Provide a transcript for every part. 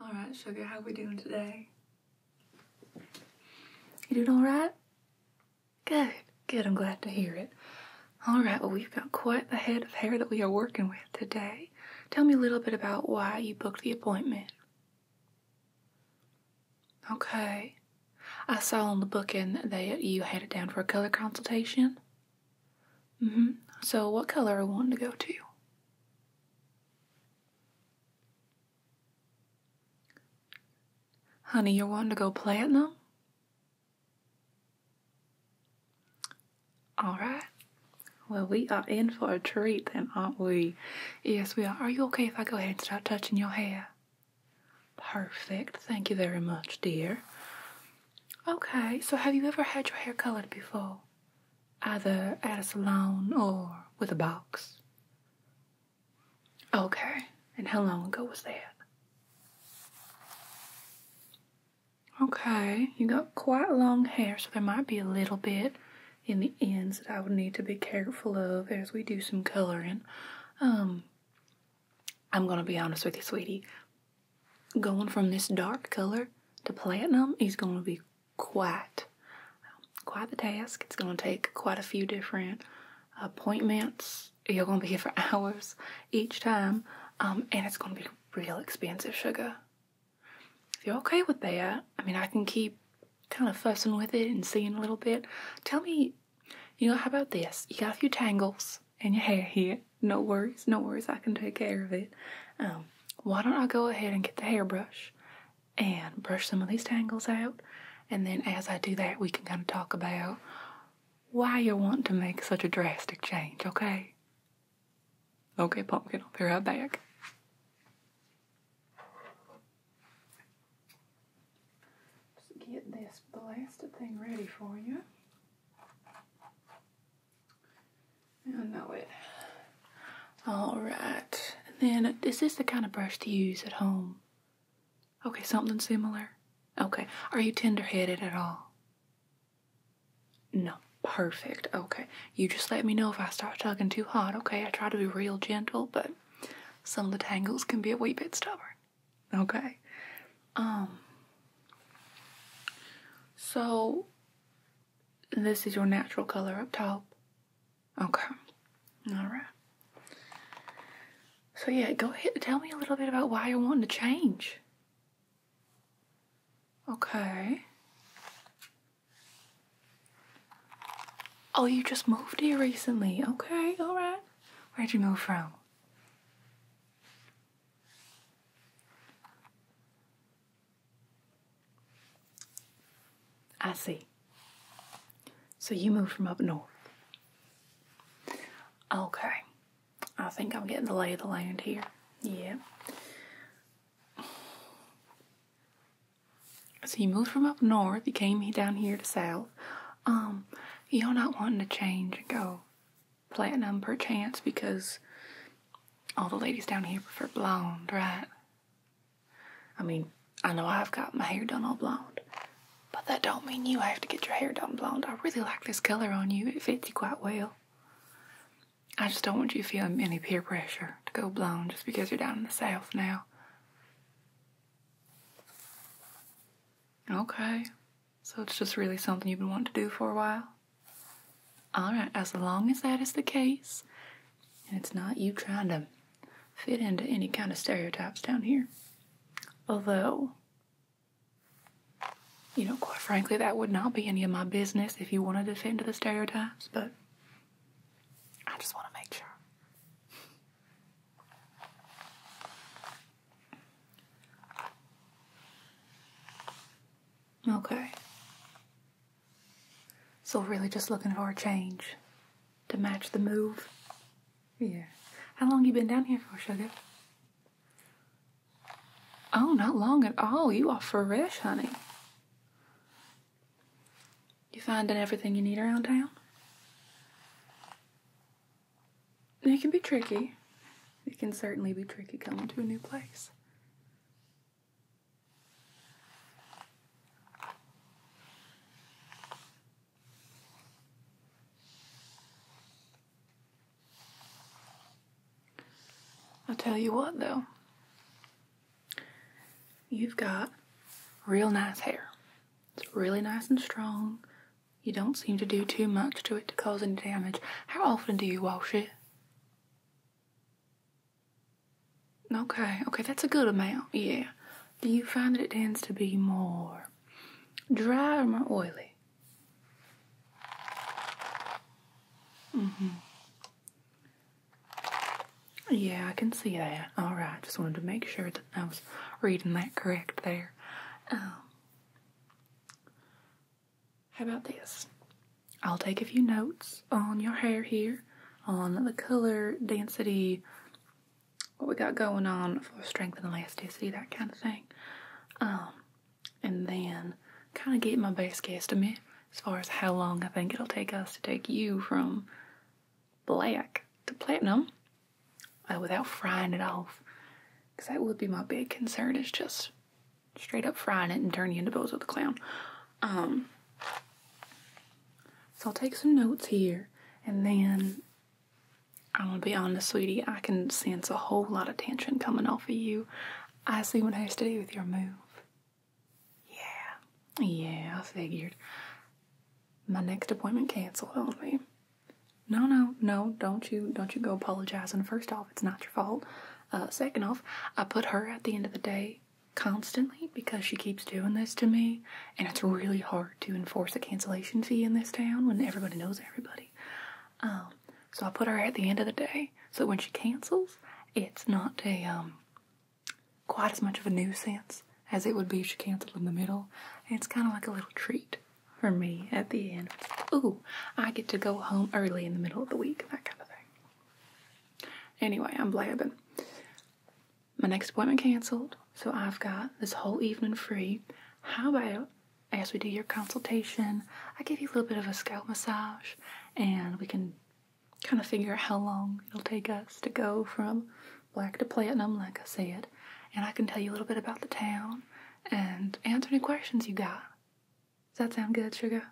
All right, sugar, how we doing today? You doing all right? Good, good. I'm glad to hear it. All right, well, we've got quite a head of hair that we are working with today. Tell me a little bit about why you booked the appointment. Okay. I saw on the booking that you had it down for a color consultation. Mm hmm. So, what color are you wanting to go to? Honey, you're wanting to go play them? All right. Well, we are in for a treat then, aren't we? Yes, we are. Are you okay if I go ahead and start touching your hair? Perfect. Thank you very much, dear. Okay, so have you ever had your hair colored before? either at a salon or with a box. Okay, and how long ago was that? Okay, you got quite long hair, so there might be a little bit in the ends that I would need to be careful of as we do some coloring. Um, I'm gonna be honest with you, sweetie. Going from this dark color to platinum is gonna be quite quite the task. It's going to take quite a few different appointments. You're going to be here for hours each time, um, and it's going to be real expensive, sugar. If you're okay with that, I mean, I can keep kind of fussing with it and seeing a little bit. Tell me, you know, how about this? You got a few tangles in your hair here. No worries, no worries. I can take care of it. Um, why don't I go ahead and get the hairbrush and brush some of these tangles out? And then as I do that, we can kind of talk about why you are wanting to make such a drastic change, okay? Okay, pumpkin, I'll be right back. Just get this blasted thing ready for you. I know it. Alright. And then, uh, is the kind of brush to use at home? Okay, something similar? Okay. Are you tender headed at all? No. Perfect. Okay. You just let me know if I start tugging too hard, okay? I try to be real gentle, but some of the tangles can be a wee bit stubborn. Okay. Um. So, this is your natural color up top. Okay. All right. So yeah, go ahead and tell me a little bit about why you're wanting to change. Okay. Oh, you just moved here recently. Okay, all right. Where'd you move from? I see. So you moved from up north. Okay. I think I'm getting the lay of the land here. Yeah. So you moved from up north, you came down here to south. Um, you're not wanting to change and go platinum perchance because all the ladies down here prefer blonde, right? I mean, I know I've got my hair done all blonde, but that don't mean you have to get your hair done blonde. I really like this color on you. It fits you quite well. I just don't want you feeling any peer pressure to go blonde just because you're down in the south now. Okay. So it's just really something you've been wanting to do for a while? All right, as long as that is the case, and it's not you trying to fit into any kind of stereotypes down here, although, you know, quite frankly, that would not be any of my business if you wanted to fit into the stereotypes, but I just want to make sure. Okay. So, really, just looking for a change to match the move? Yeah. How long you been down here for, sugar? Oh, not long at all. You are fresh, honey. You finding everything you need around town? It can be tricky. It can certainly be tricky coming to a new place. I'll tell you what, though, you've got real nice hair. It's really nice and strong. You don't seem to do too much to it to cause any damage. How often do you wash it? Okay, okay, that's a good amount, yeah. Do you find that it tends to be more dry or more oily? hmm Yeah, I can see that. All right, just wanted to make sure that I was reading that correct there. Um, how about this? I'll take a few notes on your hair here, on the color, density, what we got going on for strength and elasticity, that kind of thing. Um, and then kind of get my best guess me as far as how long I think it'll take us to take you from black to platinum uh, without frying it off. Because that would be my big concern, is just straight up frying it and turning you into Bozo the Clown. Um, so I'll take some notes here, and then I'm gonna be honest, sweetie. I can sense a whole lot of tension coming off of you. I see what has to do with your move. Yeah, yeah, I figured. My next appointment canceled on me. No, no, no! Don't you, don't you go apologizing. First off it's not your fault. Uh, second off, I put her at the end of the day constantly because she keeps doing this to me, and it's really hard to enforce a cancellation fee in this town when everybody knows everybody. Um, so I put her at the end of the day so when she cancels, it's not a um, quite as much of a nuisance as it would be if she canceled in the middle. it's kind of like a little treat for me at the end. Ooh, I get to go home early in the middle of the week, that kind of thing. Anyway, I'm blabbing. My next appointment canceled, so I've got this whole evening free. How about as we do your consultation, I give you a little bit of a scalp massage and we can kind of figure out how long it'll take us to go from black to platinum, like I said. And I can tell you a little bit about the town and answer any questions you got. Does that sound good, sugar?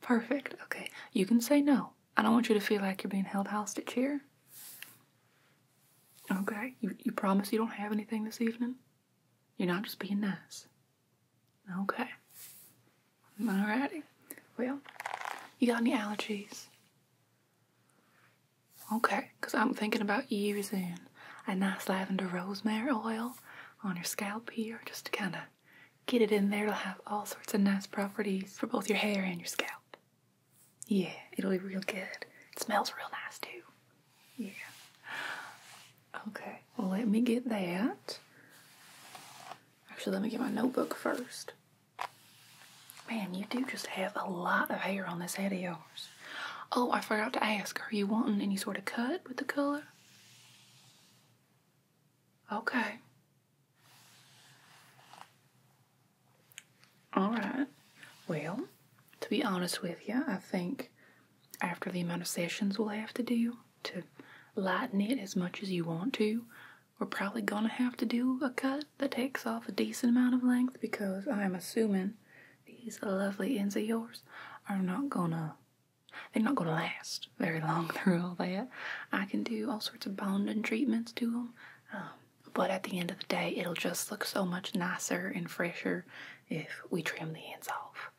Perfect. Okay. You can say no. I don't want you to feel like you're being held hostage here. Okay. You, you promise you don't have anything this evening? You're not just being nice. Okay. Alrighty. Well, you got any allergies? Okay. Because I'm thinking about using a nice lavender rosemary oil on your scalp here just to kind of get it in there. to have all sorts of nice properties for both your hair and your scalp. Yeah, it'll be real good. It smells real nice too. Yeah. Okay, well, let me get that. Actually, let me get my notebook first. Man, you do just have a lot of hair on this head of yours. Oh, I forgot to ask. Are you wanting any sort of cut with the color? Okay. All right. Well, to be honest with you, I think after the amount of sessions we'll have to do to lighten it as much as you want to, we're probably gonna have to do a cut that takes off a decent amount of length because I'm assuming these lovely ends of yours are not gonna they're not gonna last very long through all that. I can do all sorts of bonding treatments to them, um, but at the end of the day, it'll just look so much nicer and fresher if we trim the ends off.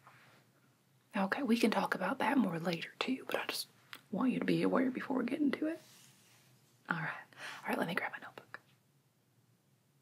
Okay, we can talk about that more later too, but I just want you to be aware before we get into it. All right, all right. Let me grab my notebook.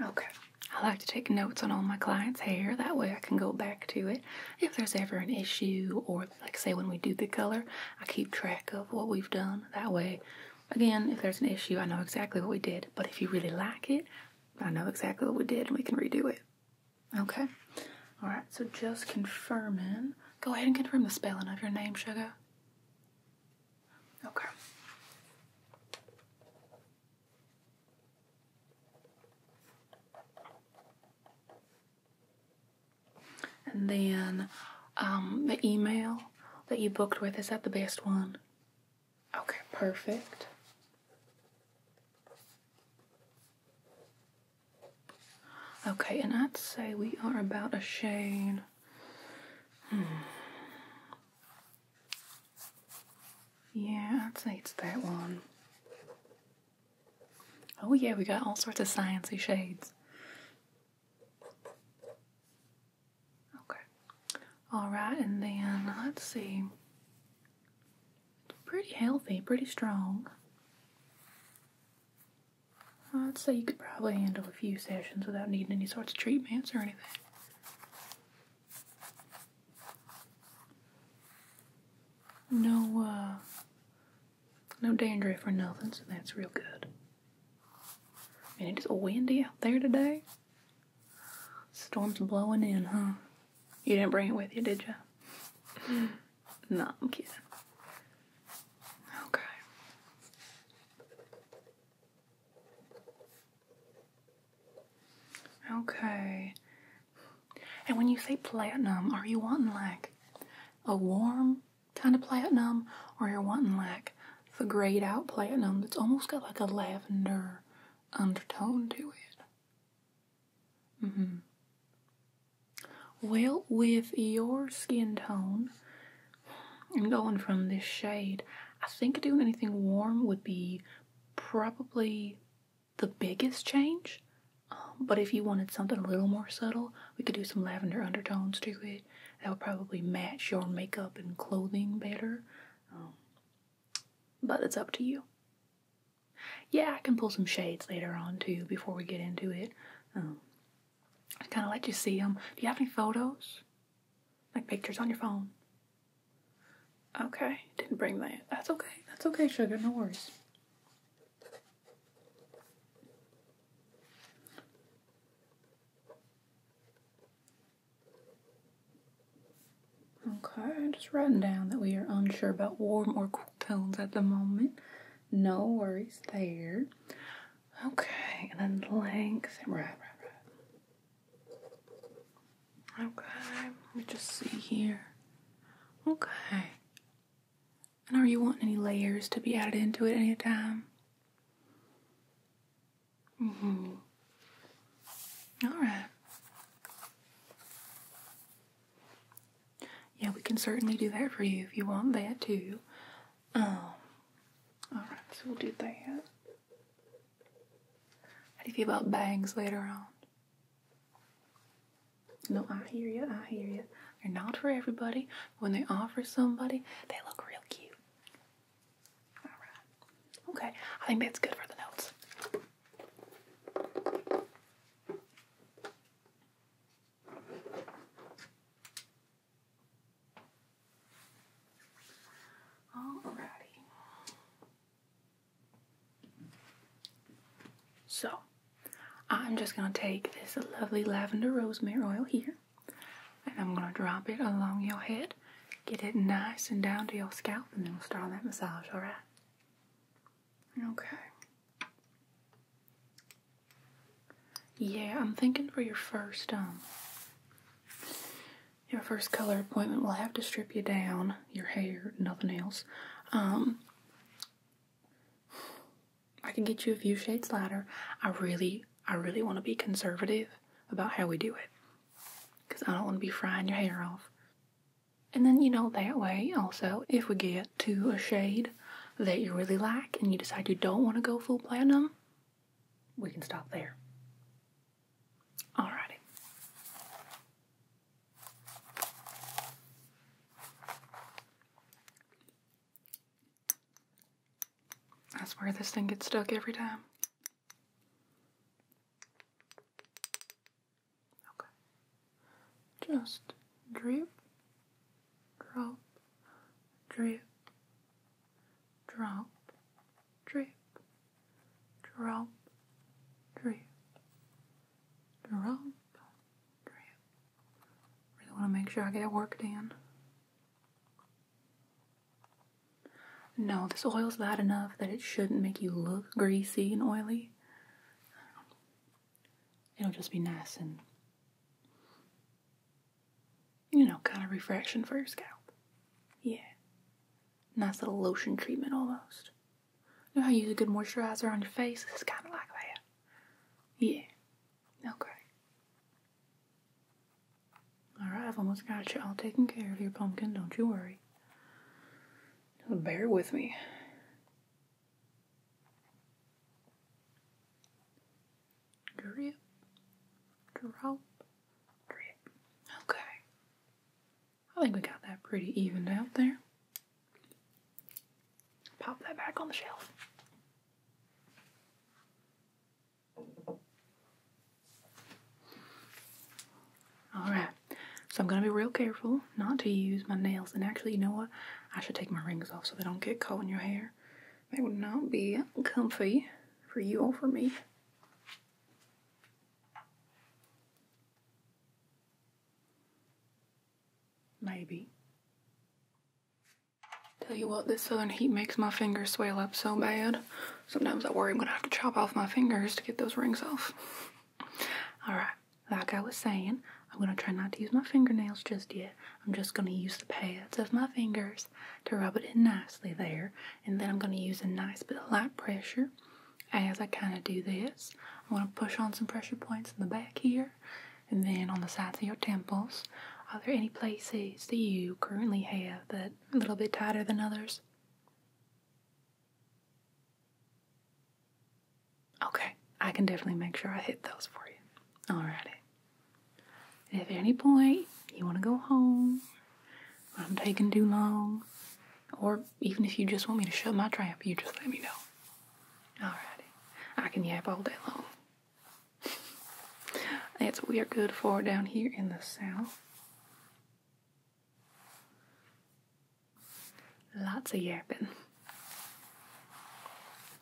Okay. I like to take notes on all my clients' hair. That way I can go back to it if there's ever an issue or like say when we do the color, I keep track of what we've done. That way, again, if there's an issue, I know exactly what we did. But if you really like it, I know exactly what we did and we can redo it. Okay. All right, so just confirming. Go ahead and confirm the spelling of your name, sugar. Okay. And then um, the email that you booked with, is that the best one? Okay, perfect. Okay, and I'd say we are about a shade. Hmm, yeah, I'd say it's that one. Oh yeah, we got all sorts of sciencey shades. Okay. Alright, and then let's see. pretty healthy, pretty strong. I'd say you could probably handle a few sessions without needing any sorts of treatments or anything. No, uh, no dandruff or nothing, so that's real good. And it is windy out there today. Storm's blowing in, huh? You didn't bring it with you, did you? no, I'm kidding. Okay. Okay. And when you say platinum, are you wanting like a warm kind of platinum or you're wanting like the grayed out platinum that's almost got like a lavender undertone to it? Mm hmm. Well, with your skin tone, I'm going from this shade. I think doing anything warm would be probably the biggest change. Um, but if you wanted something a little more subtle, we could do some lavender undertones to it. That would probably match your makeup and clothing better. Um, but it's up to you. Yeah, I can pull some shades later on too before we get into it. Um, I kind of let you see them. Do you have any photos? Like pictures on your phone? Okay, didn't bring that. That's okay. That's okay, sugar. No worries. Okay, just writing down that we are unsure about warm or cool tones at the moment. No worries there. Okay, and then length and right, right, right. Okay, let me just see here. Okay. And are you wanting any layers to be added into it anytime? hmm Alright. Yeah, we can certainly do that for you if you want that too. Um, oh. alright, so we'll do that. How do you feel about bangs later on? No, I hear you, I hear you. They're not for everybody. When they offer somebody, they look real cute. Alright. Okay, I think that's good for the notes. Alrighty. So, I'm just going to take this lovely lavender rosemary oil here and I'm going to drop it along your head. Get it nice and down to your scalp and then we'll start that massage, alright? Okay. Yeah, I'm thinking for your first um your first color appointment we'll have to strip you down, your hair, nothing else. Um I can get you a few shades lighter. I really I really want to be conservative about how we do it. Cause I don't want to be frying your hair off. And then you know that way also if we get to a shade that you really like and you decide you don't want to go full platinum, we can stop there. Alrighty. That's where this thing gets stuck every time. Okay. Just drip, drop, drip, drop, drip, drop, drip, drop, drip. Really want to make sure I get it worked in. No, this oil's bad enough that it shouldn't make you look greasy and oily. It'll just be nice and you know, kind of refraction for your scalp. Yeah. Nice little lotion treatment almost. You know how you use a good moisturizer on your face? It's kind of like that. Yeah. Okay. Alright, I've almost got you all taken care of your pumpkin, don't you worry. bear with me drip, drop, drip. Okay. I think we got that pretty evened out there. Pop that back on the shelf. Alright, so I'm going to be real careful not to use my nails. And actually, you know what? I should take my rings off so they don't get caught in your hair. That would not be comfy for you or for me. Maybe. Tell you what, this southern heat makes my fingers swell up so bad. Sometimes I worry I'm gonna have to chop off my fingers to get those rings off. Alright, like I was saying, I'm gonna try not to use my fingernails just yet. I'm just going to use the pads of my fingers to rub it in nicely there. And then I'm going to use a nice bit of light pressure as I kind of do this. I'm going to push on some pressure points in the back here and then on the sides of your temples. Are there any places that you currently have that a little bit tighter than others? Okay, I can definitely make sure I hit those for you. Alrighty. If at any point you want to go home, I'm taking too long, or even if you just want me to shut my trap, you just let me know. Alrighty. I can yap all day long. That's what we are good for down here in the south. Lots of yapping.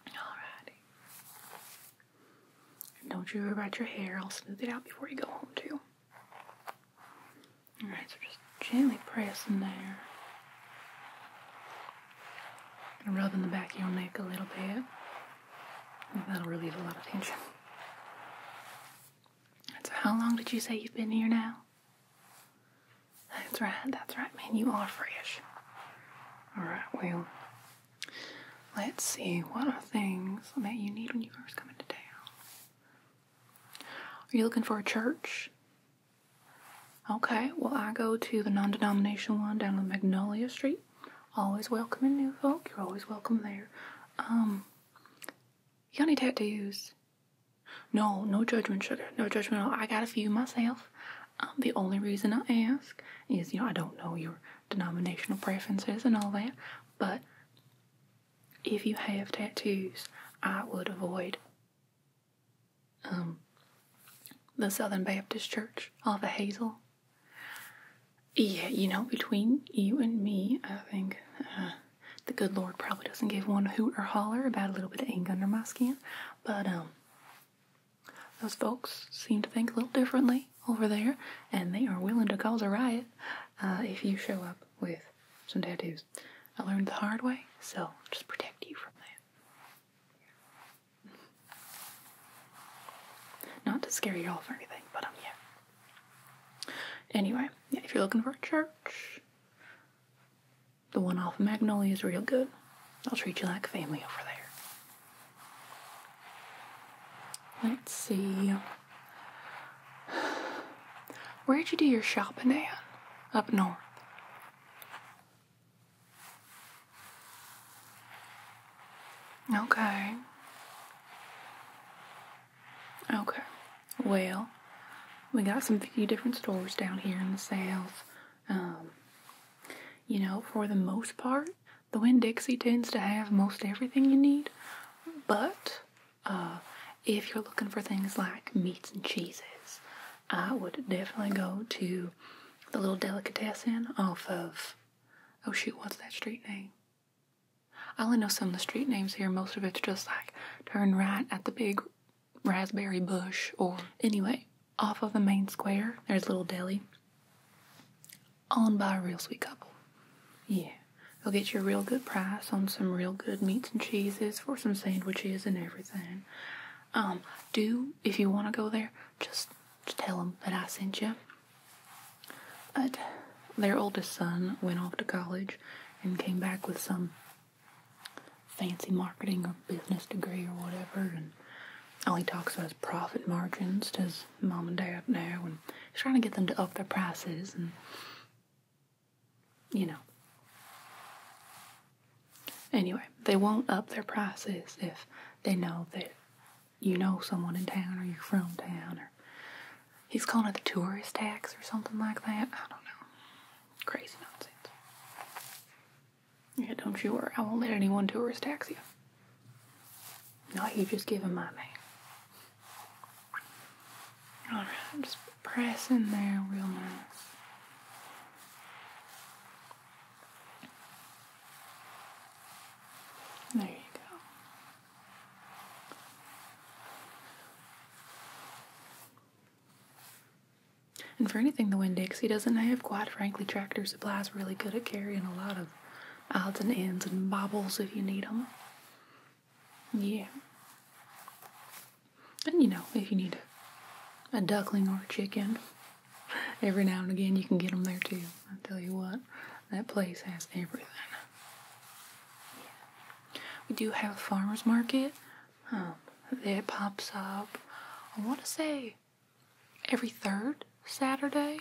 Alrighty don't you worry about your hair. I'll smooth it out before you go home, too. Alright, so just gently press in there. And rubbing the back of your neck a little bit. That'll relieve a lot of tension. so how long did you say you've been here now? That's right, that's right, man. You are fresh. Alright, well, Let's see, what are things that you need when you first come into town? Are you looking for a church? Okay, well, I go to the non denomination one down on Magnolia Street. Always welcoming new folk, you're always welcome there. Um, you got any tattoos? No, no judgment, sugar. No judgment at all. I got a few myself. Um, the only reason I ask is, you know, I don't know your denominational preferences and all that, but if you have tattoos, I would avoid um, the Southern Baptist Church off of Hazel. Yeah, you know, between you and me, I think uh, the good Lord probably doesn't give one hoot or holler about a little bit of ink under my skin, but um, those folks seem to think a little differently over there, and they are willing to cause a riot uh, if you show up with some tattoos. I learned the hard way, so just protect you from that. Not to scare you off or anything, but um, yeah. Anyway, if you're looking for a church, the one off Magnolia is real good. I'll treat you like family over there. Let's see. Where'd you do your shopping Anne? Up north. Okay. Okay. Well, we got some few different stores down here in the south. Um, you know, for the most part, the Winn Dixie tends to have most everything you need, but uh, if you're looking for things like meats and cheeses, I would definitely go to the little delicatessen off of, oh shoot, what's that street name? I only know some of the street names here. Most of it's just like turn right at the big raspberry bush or anyway off of the main square. There's a little deli. Owned by a real sweet couple. Yeah. they will get you a real good price on some real good meats and cheeses for some sandwiches and everything. Um, do, if you want to go there, just, just tell them that I sent you. But their oldest son went off to college and came back with some fancy marketing or business degree or whatever, and all he talks about is profit margins to his mom and dad now, and he's trying to get them to up their prices, and you know. Anyway, they won't up their prices if they know that you know someone in town or you're from town or he's calling it the tourist tax or something like that. I don't know. Crazy nonsense. Yeah, don't you worry. I won't let anyone tourist tax you. No, you just give him my name. Alright, just press in there real nice. There you go. And for anything the Winn Dixie doesn't have, quite frankly, Tractor Supply's really good at carrying a lot of odds and ends and bobbles if you need them. Yeah. And you know, if you need a, duckling or a chicken, every now and again you can get them there too. I tell you what, that place has everything. We do have a farmer's market um, that pops up, I want to say, every third Saturday.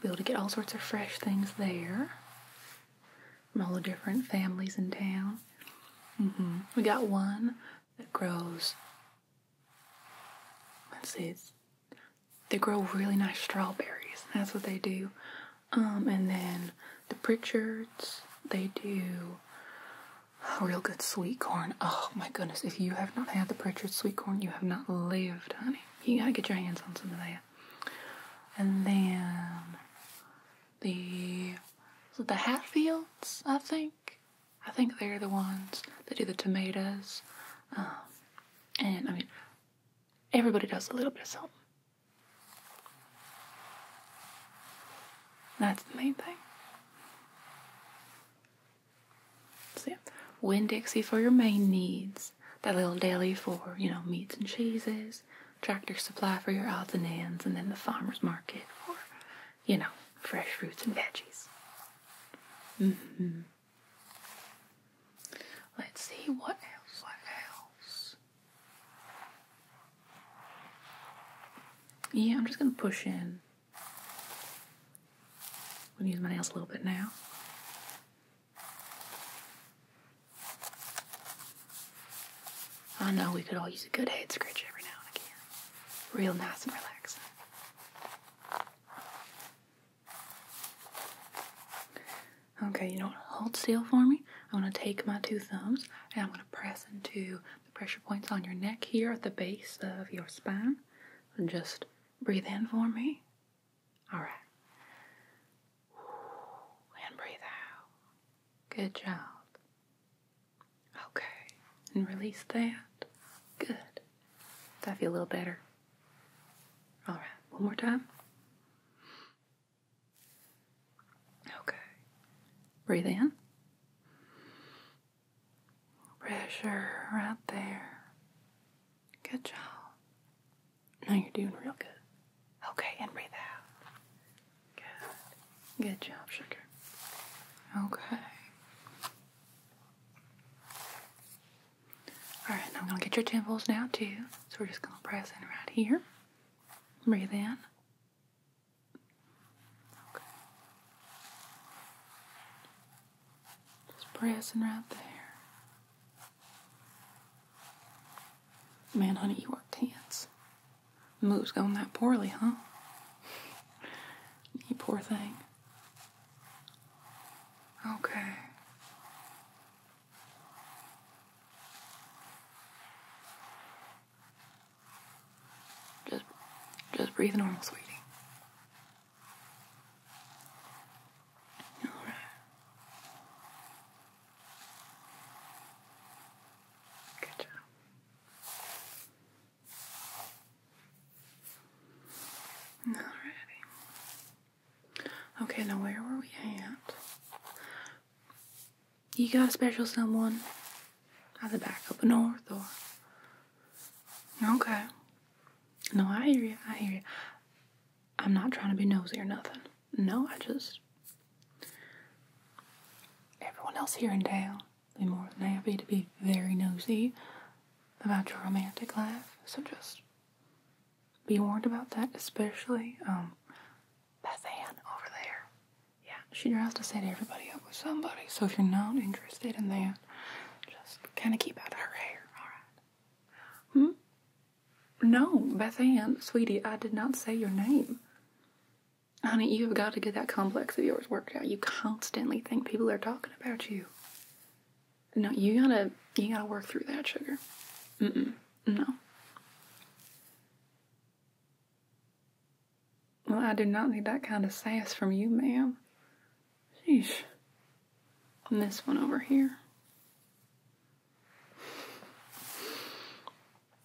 Be able to get all sorts of fresh things there from all the different families in town. Mm-hmm. We got one that grows. Let's they grow really nice strawberries. That's what they do. Um, and then the Pritchards, they do Real good sweet corn. Oh my goodness, if you have not had the Pritchard sweet corn, you have not lived, honey. You gotta get your hands on some of that. And then the the Hatfields, I think. I think they're the ones that do the tomatoes. Um, and I mean, everybody does a little bit of something. That's the main thing. So Win dixie for your main needs. That little deli for, you know, meats and cheeses. Tractor Supply for your odds and ends. And then the farmer's market for, you know, fresh fruits and veggies. Mm-hmm. Let's see what else. What else? Yeah, I'm just gonna push in I'm gonna use my nails a little bit now. I know we could all use a good head scratch every now and again. Real nice and relaxing. Okay, you know what? Hold still for me. I'm gonna take my two thumbs and I'm gonna press into pressure points on your neck here at the base of your spine. just breathe in for me. All right. And breathe out. Good job. Okay. And release that. Good. Does that feel a little better? All right. One more time. Okay. Breathe in. Pressure right there. Good job. Now you're doing real good. Okay, and breathe out. Good. Good job, sugar. Okay. Alright, Now I'm gonna get your temples now too. So we're just gonna press in right here. Breathe in. Okay. Just pressing right there. Man, honey, you are tense. Move's going that poorly, huh? you poor thing. Okay. Just, just breathe normal, sweetie. All right. Good job. Alrighty. Okay, now where were we at? You got a special someone either back up north or. Okay. No, I hear you. I hear you. I'm not trying to be nosy or nothing. No, I just. Everyone else here in town, they're more than happy to be very nosy about your romantic life. So just be warned about that, especially um, that over there yeah, she to say to set everybody up with somebody. So if you're not interested in that, just kind of keep out of her hair, all right? Hmm? No, Beth Ann, sweetie, I did not say your name. Honey, you have got to get that complex of yours worked out. You constantly think people are talking about you. No, you gotta, you gotta work through that, sugar. Mm-mm, no. Well, I do not need that kind of sass from you, ma'am. Sheesh. And this one over here.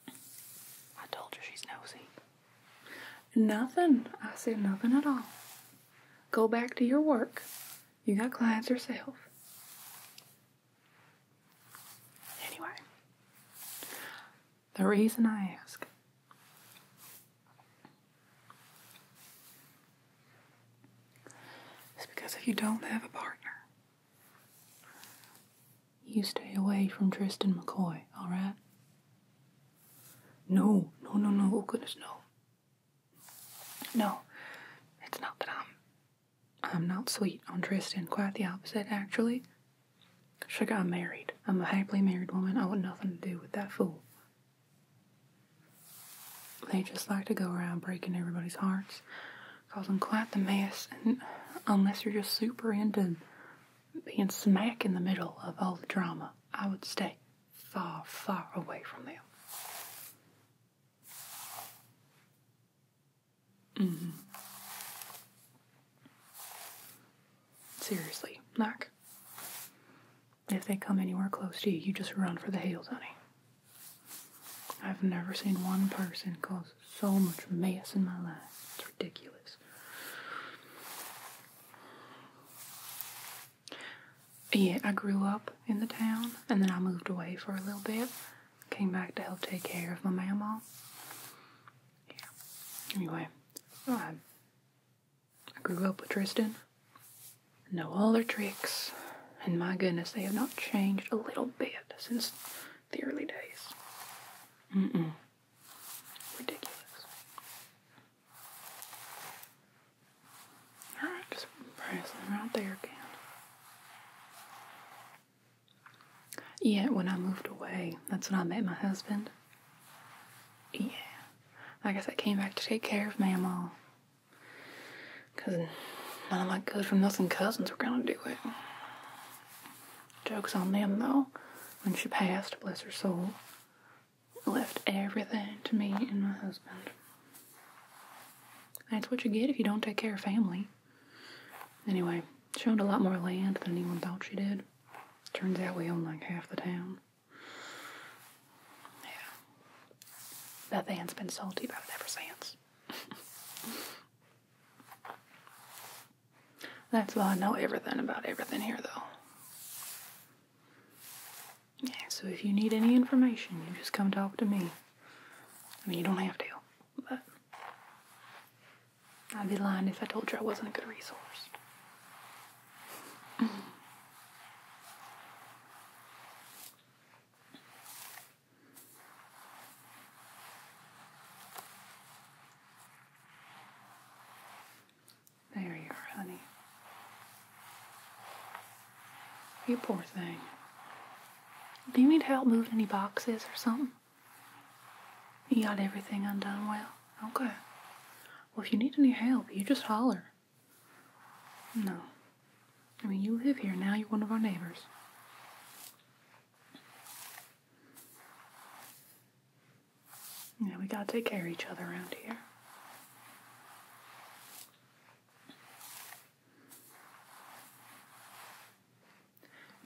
I told you she's nosy. Nothing. I said nothing at all. Go back to your work. You got clients yourself. Anyway, the reason I ask is because if you don't have a partner, you stay away from Tristan McCoy, alright? No, no, no, no, oh goodness, no. No, it's not that I'm. I'm not sweet on Tristan, quite the opposite, actually. Sugar, I'm married. I'm a happily married woman. I want nothing to do with that fool. They just like to go around breaking everybody's hearts, causing quite the mess, and unless you're just super into being smack in the middle of all the drama, I would stay far, far away from them. Mm-hmm. Seriously, Mac. If they come anywhere close to you, you just run for the hills, honey. I've never seen one person cause so much mess in my life. It's ridiculous. Yeah, I grew up in the town and then I moved away for a little bit. Came back to help take care of my mama. Yeah. Anyway, I, grew up with Tristan. know all their tricks. And my goodness, they have not changed a little bit since the early days. Mm-mm. Ridiculous. Alright, just press them right there, Ken. Yeah, when I moved away, that's when I met my husband. Yeah. I guess I came back to take care of Mamaw. Because none of my good for nothing cousins were gonna do it. Joke's on them though. When she passed, bless her soul, left everything to me and my husband. That's what you get if you don't take care of family. Anyway, she owned a lot more land than anyone thought she did. Turns out we own like half the town. Yeah. That has been salty about it ever since. That's why I know everything about everything here, though. Yeah, so if you need any information, you just come talk to me. I mean, you don't have to, but. I'd be lying if I told you I wasn't a good resource. there you are, honey. You poor thing. Do you need help moving any boxes or something? You got everything undone well? Okay. Well, if you need any help, you just holler. No. I mean, you live here now, you're one of our neighbors. Yeah, we gotta take care of each other around here.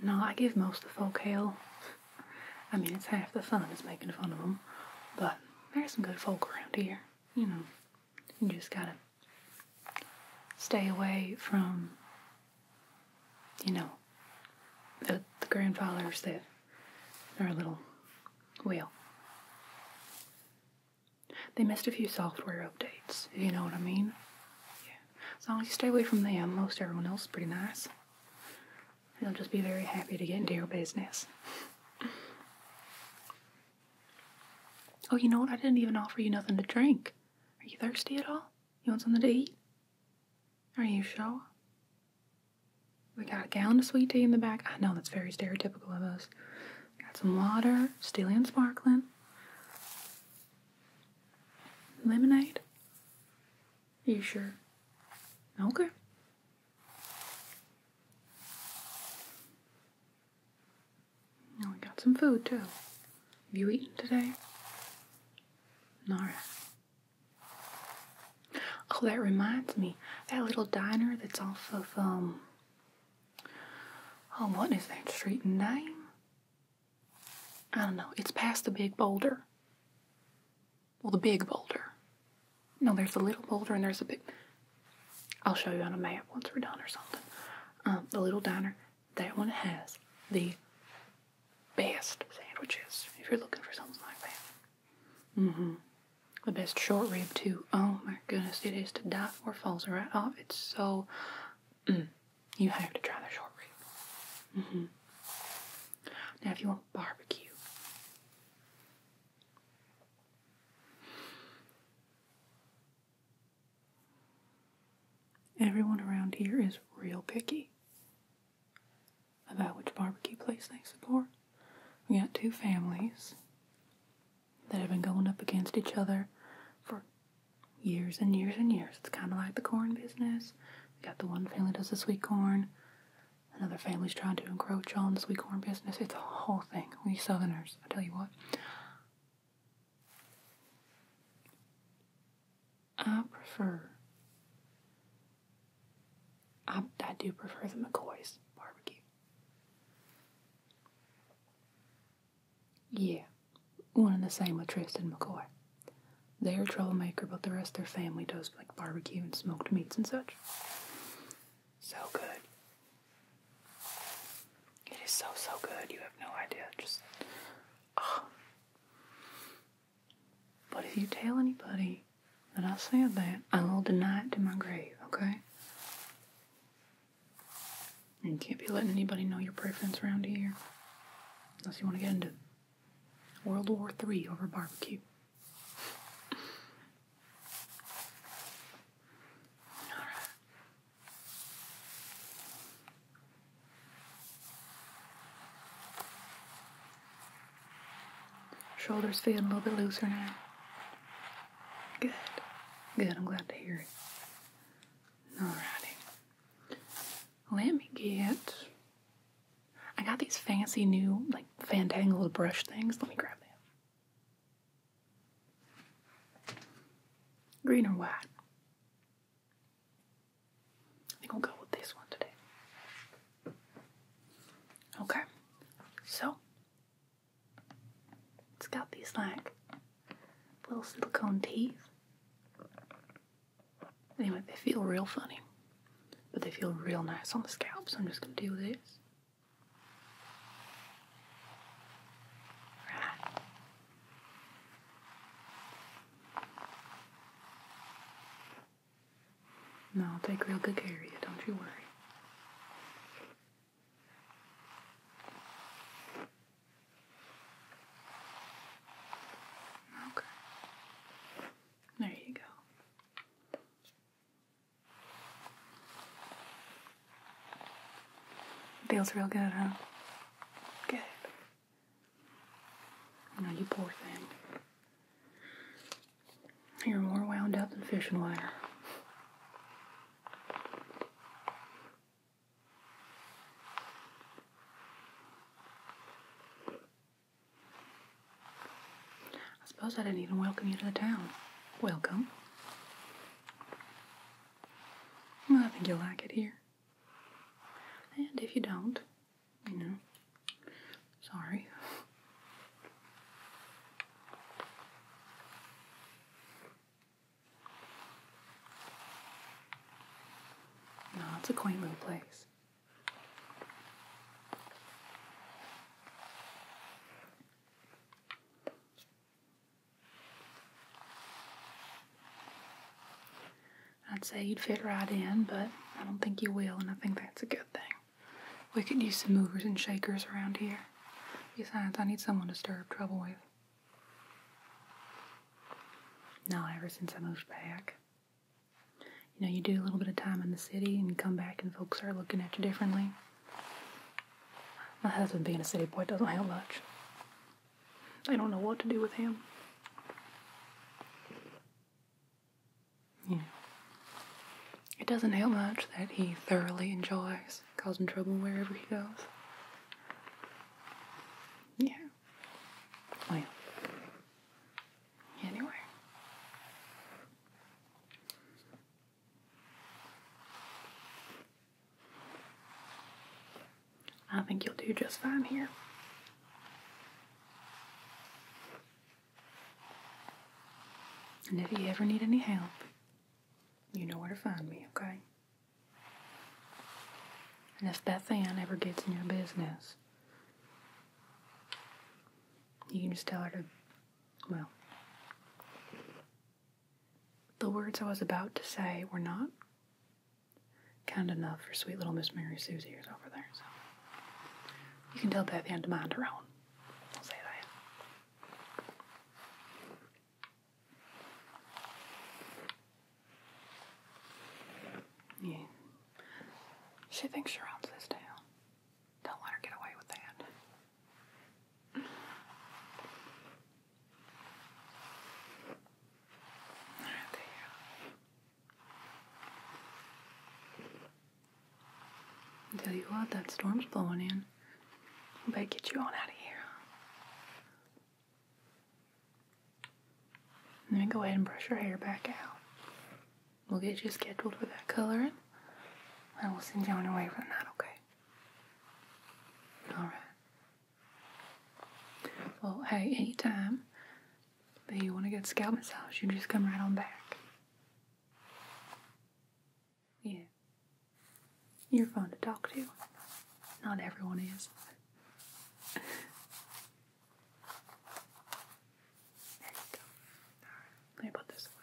No, I give most the folk hell. I mean, it's half the fun is making fun of them, but there's some good folk around here. You know, you just gotta stay away from, you know, the, grandfathers that are a little, well, they missed a few software updates, you know what I mean? As long as you stay away from them, most everyone else is pretty nice. They'll just be very happy to get into your business. Oh, you know what? I didn't even offer you nothing to drink. Are you thirsty at all? You want something to eat? Are you sure? We got a gallon of sweet tea in the back. I know that's very stereotypical of us. Got some water, still and sparkling. Lemonade. Are you sure? Okay. Now we got some food too. Have you eaten today? Alright. Oh, that reminds me. That little diner that's off of, um, oh, what is that street name? I don't know, it's past the big boulder. Well, the big boulder. No, there's a little boulder and there's a big. I'll show you on a map once we're done or something. Um, the little diner, that one has the best sandwiches if you're looking for something like that. Mm-hmm. The best short rib too. Oh my goodness, it is to die for. Falls right off. It's so Mm. you have to try the short ribs. Mm-hmm. Now, if you want barbecue, everyone around here is real picky about which barbecue place they support. We got two families that have been going up against each other for years and years and years. It's kind of like the corn business. We got the one family does the sweet corn, another family's trying to encroach on the sweet corn business. It's a whole thing. We Southerners, I tell you what. I prefer. I, I do prefer the McCoy's barbecue. Yeah one and the same with Tristan McCoy. They're troublemaker, but the rest their family does like barbecue and smoked meats and such. So good. It is so, so good. You have no idea. Just, oh. But if you tell anybody that I said that, I will deny it to my grave, okay? you can't be letting anybody know your preference around here. Unless you want to get into World War III over barbecue. All right. Shoulders feeling a little bit looser now. Good. Good, I'm glad to hear it. Alrighty. Let me get. I got these fancy new, like, fantangled brush things. Let me grab them. Green or white? I think we'll go with this one today. Okay, so it's got these like little silicone teeth. Anyway, they feel real funny, but they feel real nice on the scalp, so I'm just going to do this. No, I'll take real good care of you, don't you worry. Okay. There you go. Feels real good, huh? Good. Now you poor thing. You're more wound up than fishing wire. I suppose I didn't even welcome you to the town. Welcome. I think you'll like it here. And if you don't, you know, sorry. No, it's a quaint little place. I'd say you'd fit right in, but I don't think you will, and I think that's a good thing. We could use some movers and shakers around here. Besides, I need someone to stir up trouble with. No, ever since I moved back. You know, you do a little bit of time in the city and you come back and folks are looking at you differently. My husband being a city boy doesn't help much. I don't know what to do with him. Yeah, it doesn't help much that he thoroughly enjoys causing trouble wherever he goes. Yeah. Well, oh, anywhere. I think you'll do just fine here. And if you ever need any help, you know where to find me, okay? And if that fan ever gets in your business, you can just tell her to, well, the words I was about to say were not kind enough for sweet little Miss Mary Susie ears over there, so you can tell Beth Ann to mind her own. I'll say that. Yeah. She thinks she runs this town. Don't let her get away with that. Right there. Tell you what, that storm's blowing in. I better get you on out of here. Let me go ahead and brush your hair back out. We'll get you scheduled for that coloring. And we'll send you on your way for the night, okay? Alright. Well, hey, anytime that you want to get scalp massage, you just come right on back. Yeah. You're fun to talk to. Not everyone is. there you go. let me put this away.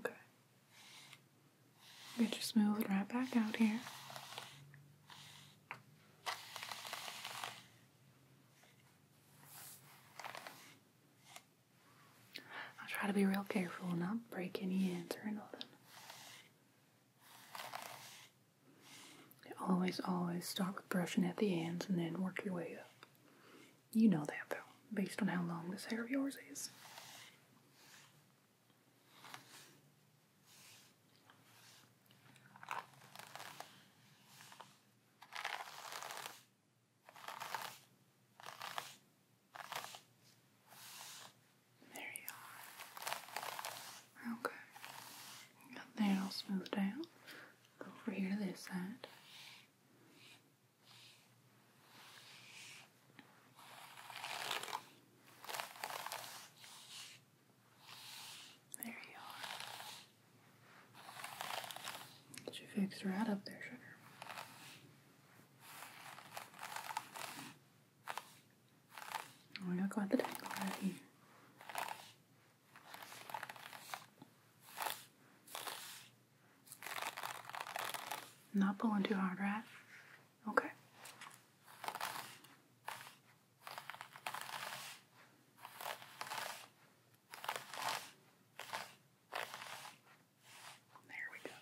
Okay. We just move right back out here. I'll try to be real careful and not break any ends or nothing. always, always start with brushing at the ends and then work your way up. You know that though, based on how long this hair of yours is. There you are. Okay. Got that all smoothed out. over here this side. There you are. Did you fix your head up there, sugar? We're oh, the tangle right here. Not pulling too hard, right? Okay. There we go.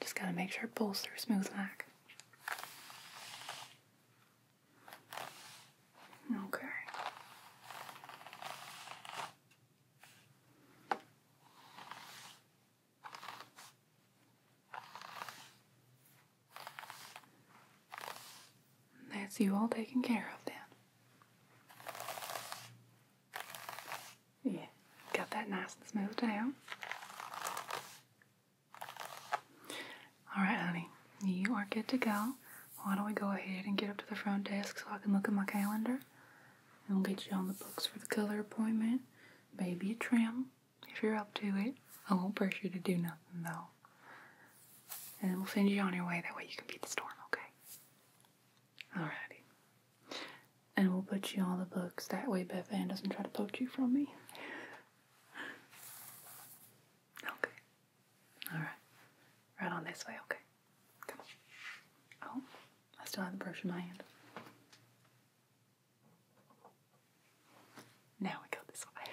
Just gotta make sure it pulls through smooth like. Okay. That's you all taken care of then. Yeah, got that nice and smooth down. All right, honey, you are good to go. Why don't we go ahead and get up to the front desk so I can look at my calendar? And we'll get you on the books for the color appointment, maybe a trim, if you're up to it. I won't pressure you to do nothing, though. And we'll send you on your way. That way you can beat the storm, okay? Alrighty. And we'll put you on the books. That way Beth Ann doesn't try to poach you from me. Okay. Alright. Right on this way, okay? Come on. Oh, I still have the brush in my hand. Now we go this way.